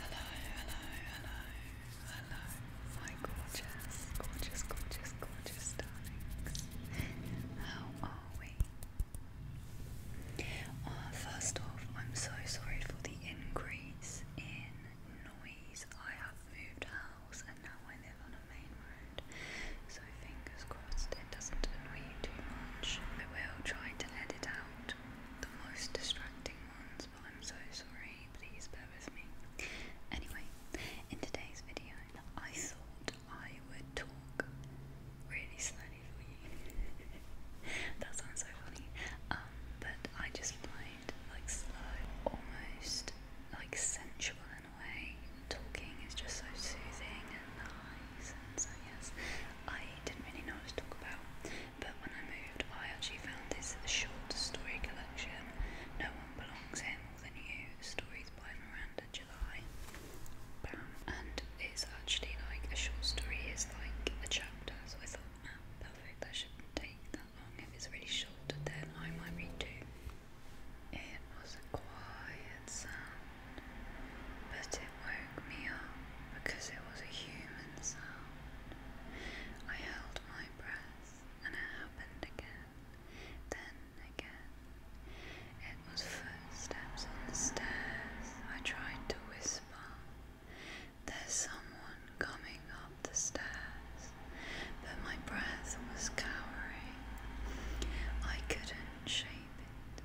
Hello, hello, hello, hello, my gorgeous, gorgeous, gorgeous, gorgeous darlings. How are we? first off, I'm so sorry for the increase in noise. I have moved house and now I live on a main road, so fingers crossed it doesn't annoy you too much. I will try to edit out the most distracting ones. but I'm so sorry. Please bear with me. Anyway, in today's video, I thought I would talk really slowly for you. that sounds so funny. Um, but I just find like slow, almost like sensual in a way. Talking is just so soothing and nice, and yes, I didn't really know what to talk about. But when I moved, I actually found this short story collection, No One Belongs Here More Than You, stories by Miranda July. Bam. And it's actually like a short story is like a chapter, so I thought, ah, perfect, that shouldn't take that long. If it's really short, then I might read two. It was a quiet sound but it woke me up because it was a human sound. I held my breath and it happened again, then again. It was footsteps on the stairs. I tried to whisper, There's someone coming up the stairs, but my breath was cowering. I couldn't shape it.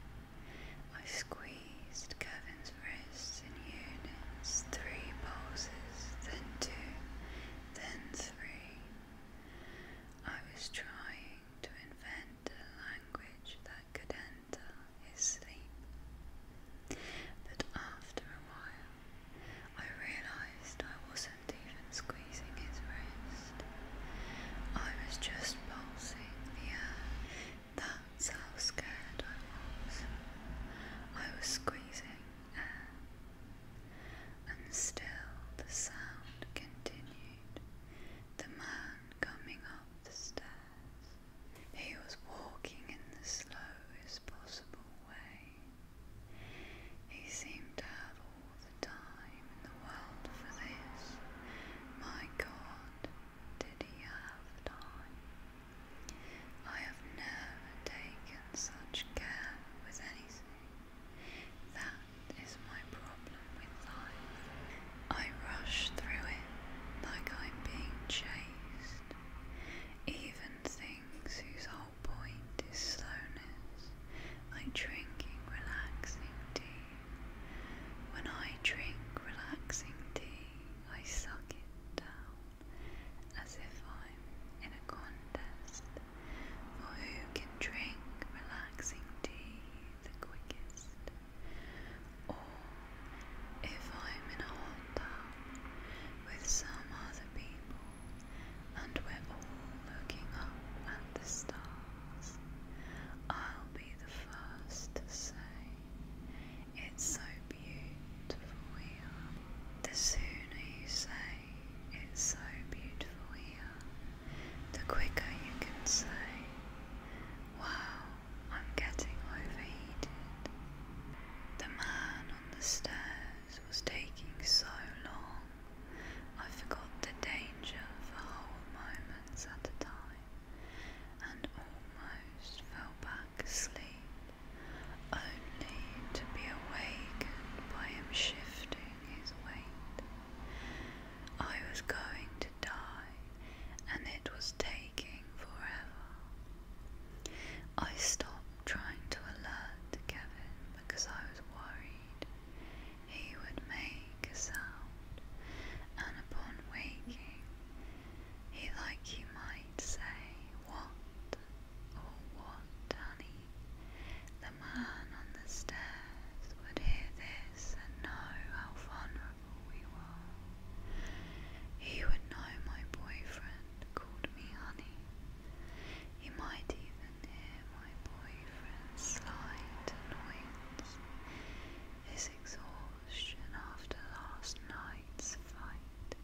I squeezed Kevin's wrists in units, three pulses, then two, then three. I was trying to invent a language that could enter his sleep. But after a while, I realized I wasn't even squeezing his wrist. I was just pulsing the air that's how scared I was. I was squeezing air, and still the sound continued. The man coming up the stairs. He was walking in the slowest possible way. He seemed to have all the time in the world for this. My God, did he have time? I have never taken such care with anything. That is my problem with life. I rush through it like I'm being chased. Even things whose whole point is slowness, like drinking relaxing tea, when I drink relaxing tea, I suck it down as if I'm in a contest for who can drink relaxing tea the quickest. Or if I'm in a hot tub with some other people and we're all looking up at the stars, I'll the first to say, It's so beautiful here. The sooner you say, It's so beautiful here, the quicker you can say, Wow, I'm getting overheated. The man on the stairs was taking so long, I forgot the danger for whole moments at a time and almost fell back asleep, only to be awakened by him shifting his weight. I was going to die, and it was taking forever. I stopped trying to alert Kevin because I was worried he would make a sound, and upon waking, he like you might say, What, or oh, what, honey? The man on the stairs would hear this and know how vulnerable we were. He would know my boyfriend called me honey. He might even hear my boyfriend's slight annoyance his exhaustion after last night's fight.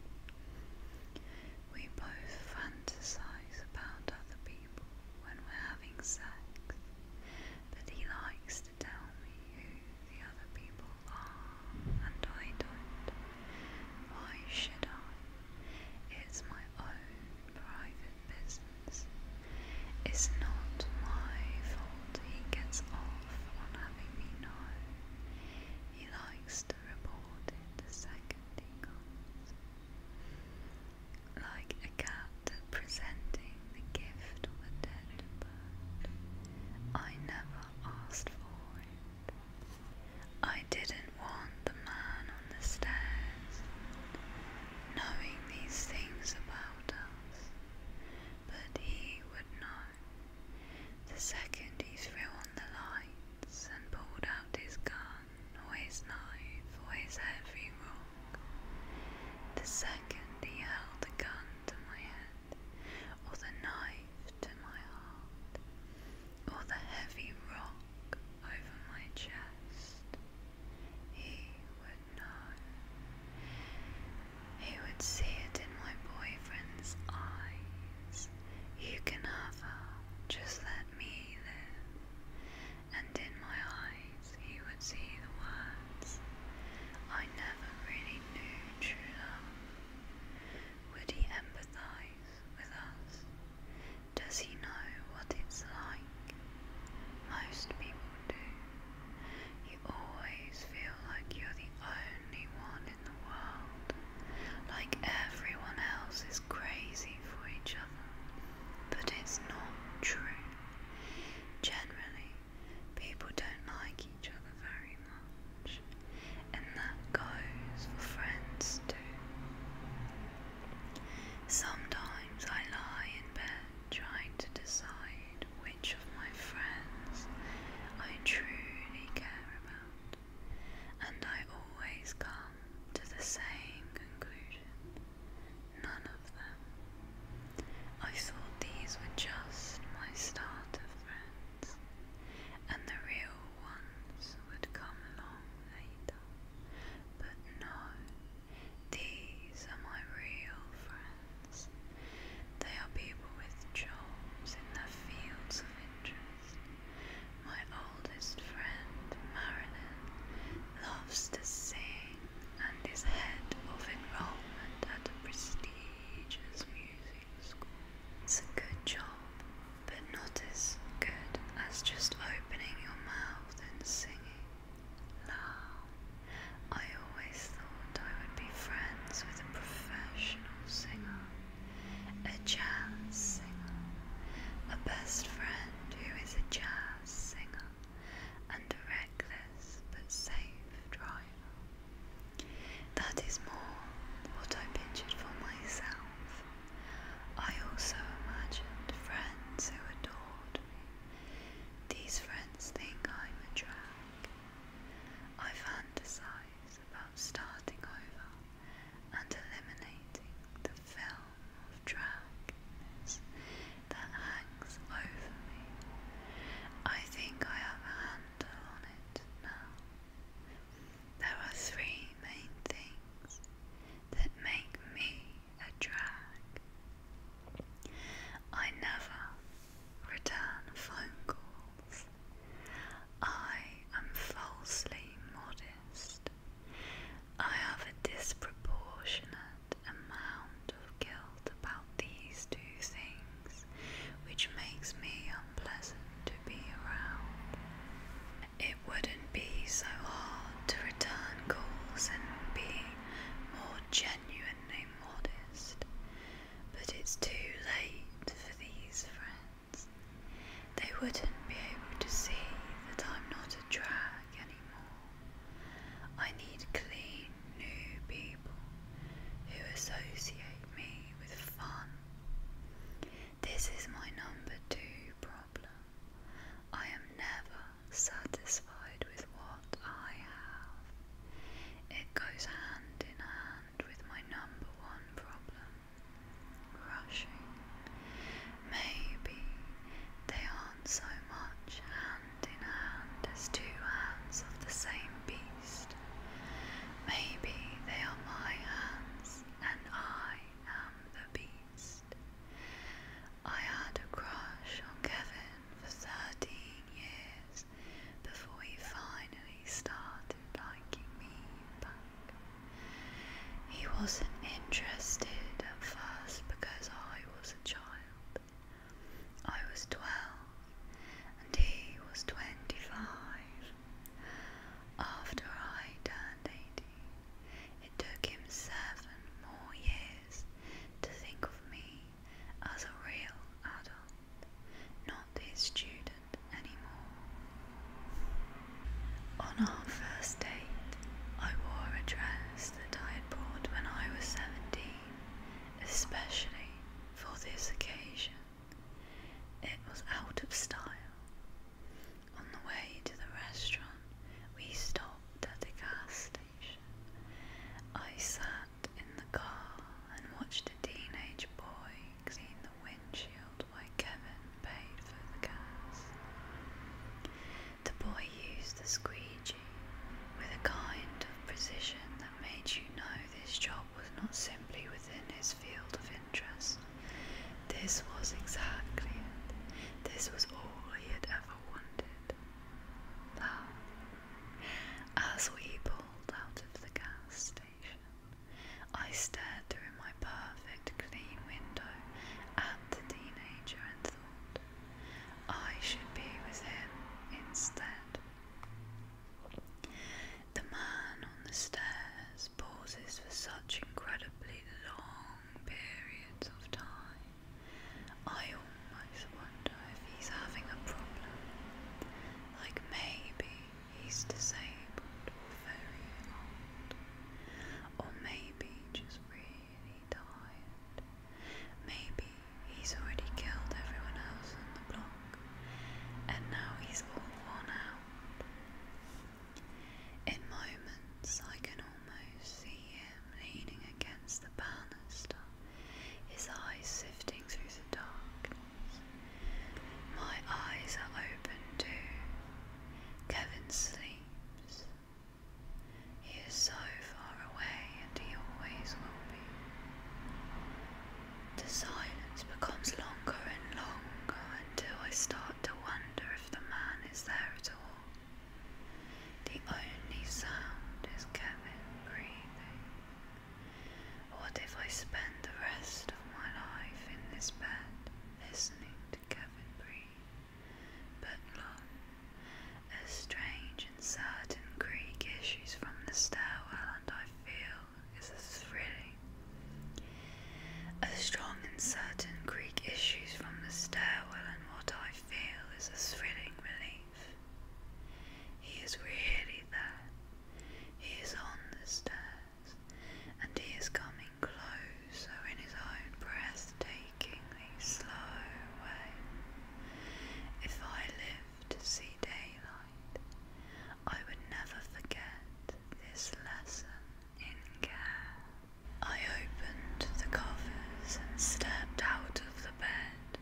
We both fantasize about other people when we're having sex, but he likes to tell me who the other people are, and I don't. Why should I? It's my own private business. It's not my fault he gets off on having me know. He likes to report in the second he Like a cat presenting the gift of a dead bird. I never asked for it. I didn't want the man on the stairs knowing these things about us but he would know. The second he threw on the lights and pulled out his gun or his knife or his heavy rock, the second he held the gun to my head or the knife to my heart or the heavy rock over my chest, he would know. He would see it in my boyfriend's eyes. You can have her, just let me live. And in my eyes, he would see the words. I never really knew true love. Would he empathize with us? Does he know what it's like most people do. You always feel like you're the only one in the world, like everyone else is crazy for each other. But it's not true. Generally, people don't like each other very much, and that goes for friends too. Sometimes I lie in bed trying to decide which of my friends I truly care about, and I always come to the same conclusion none of them. I thought these were just my starter friends, and the real ones would come along later, but no. These are my real friends. They are people with jobs in their fields of interest. My oldest friend, Marilyn, loves to sing and is head of enrollment at a prestigious music school. It's a good job, but not as good as just opening your mouth and singing. I always thought I would be friends with a professional singer, a jazz singer, a best friend who is a jazz singer, and a reckless but safe driver. That is more what I pictured for myself. I also imagined friends who adored me, these friends think I'm a drag. I fantasize about starting over and eliminating the film of dragons that hangs over me. I think I have a handle on it now. There are three main things that make me a drag. I never return phone calls. I am falsely modest. I have a disproportionate amount of guilt about these two things, which makes me unpleasant to be around. It would be so hard to return calls and be more genuinely modest, but it's too late for these friends. They wouldn't be able to see that I'm not a drag anymore. I need clean, new people who associate me with fun. This is my number two problem. I am never satisfied with what I have. It goes hand in hand with my number one problem rushing. Maybe they aren't so much hand in hand as two hands of the same beast. Maybe they are my hands and I am the beast. I had a crush on Kevin for 13 years before he finally started liking me back. He wasn't interested at first because I was a child. I was 12 and he was 25. After I turned 18. It took him seven more years to think of me as a real adult, not his student anymore. On our first date, I wore a dress that I had bought when I was seventeen, especially for this occasion. It was out of style. On the way to the restaurant, we stopped at the gas station. I sat in the car and watched a teenage boy clean the windshield while Kevin paid for the gas. The boy used the squeegee with a kind of precision that made you know this job was not simply within his field of interest. This was exactly it. This was all he had as we pulled out of the gas station, I stared through my perfect clean window at the teenager and thought, I should be with him instead. The man on the stairs pauses for such incredibly long periods of time. I almost wonder if he's having a problem. Like maybe he's disabled or very old. Or maybe just really tired. Maybe he's already killed everyone else on the block and now he's all worn out. In moments, I can almost see him leaning against the banister, his eyes sifting through the darkness. My eyes are open too. Kevin sleeps. He is so far away, and he always will be. The silence becomes longer and longer until I start to wonder if the man is there at all. The only sound is Kevin breathing. What if I spend the rest of my life in this bed listening to Kevin breathe? But look, a strange and certain creak issues from the stairwell and I feel is a thrilling a strong and certain Greek issues from the stairwell, and what I feel is a thrilling relief. He is really there. He is on the stairs, and he is coming closer in his own breath breathtakingly slow way. If I live to see daylight, I would never forget this lesson in care. I opened the covers and stepped out of the bed.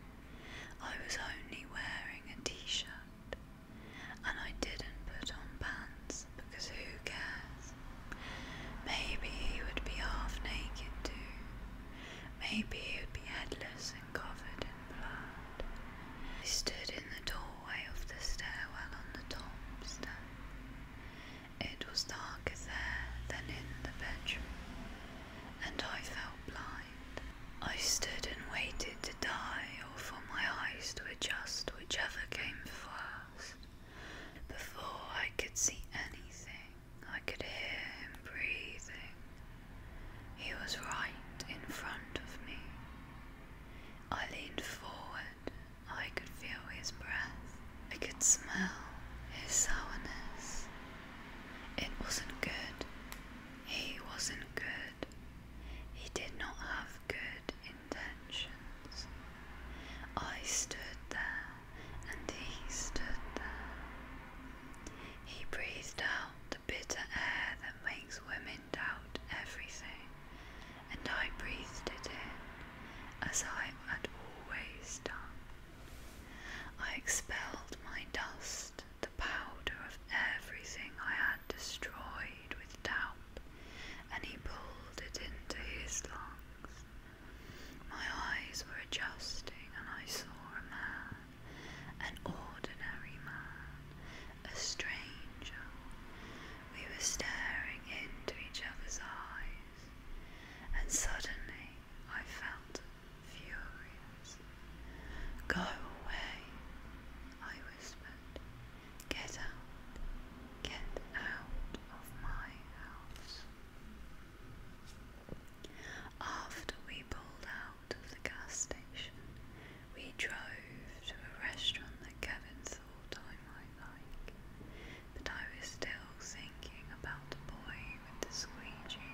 I was only wearing a t shirt, and I didn't put on pants because who cares? Maybe he would be half naked too. Maybe he would be headless and covered in blood. I stood in the doorway of the stairwell on the top step. It was darker there than in the bedroom, and I felt blind. I stood and waited to die, or for my eyes to adjust whichever came first. Before I could see anything, I could hear him breathing. He was right in front of me. I leaned forward I could feel his breath. I could smell his sourness. It wasn't good. He wasn't good. He did not have good intentions. I stood there and he stood there. He breathed out the bitter air that makes women doubt everything and I breathed it in as I had always done. I expelled my dust, the powder of everything I had destroyed with doubt, and he pulled it into his lungs. My eyes were adjusting, and I saw a man, an ordinary man, a stranger, we were staring into each other's eyes, and suddenly I felt furious. Go away, I whispered. Get out, get out of my house. After we pulled out of the gas station, we drove to a restaurant that Kevin thought I but I was still thinking about the boy with the squeegee,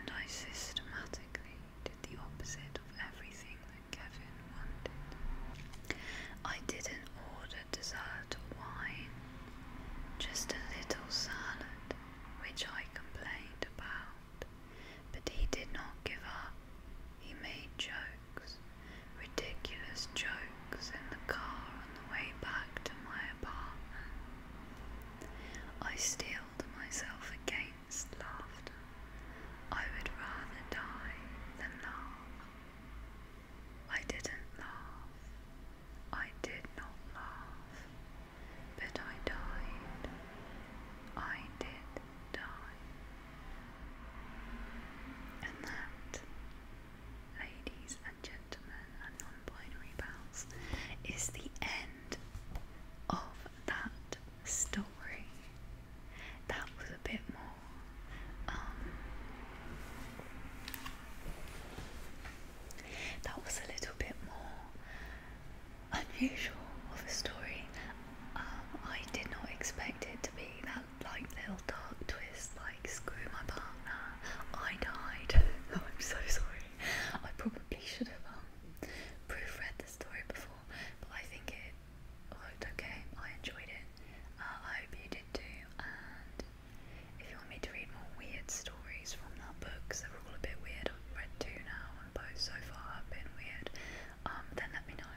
and I systematically did the opposite of everything that Kevin wanted. I didn't order dessert or wine, just a little salad, which I complained about, but he did not give up. He made jokes ridiculous jokes in the car on the way back to my apartment. I steeled myself against laughter. I would rather die than laugh. I didn't laugh. I did not laugh. But I died. I did die and that ladies and gentlemen and non-binary pals is the end of that story. That was a bit more um, that was a little bit more unusual of a story. Um, I did not expect it to be that like little dark twist, like screw my partner, I died. Oh, I'm so sorry. I probably should have um, proofread the story before, but I think it looked okay. I enjoyed it. Uh, I hope you did too. And if you want me to read more weird stories from that book, because they're all a bit weird, I've read two now, and both so far have been weird um, then let me know.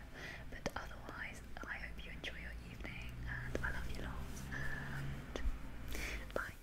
But otherwise, I hope you enjoy your evening and I love you lots. And bye.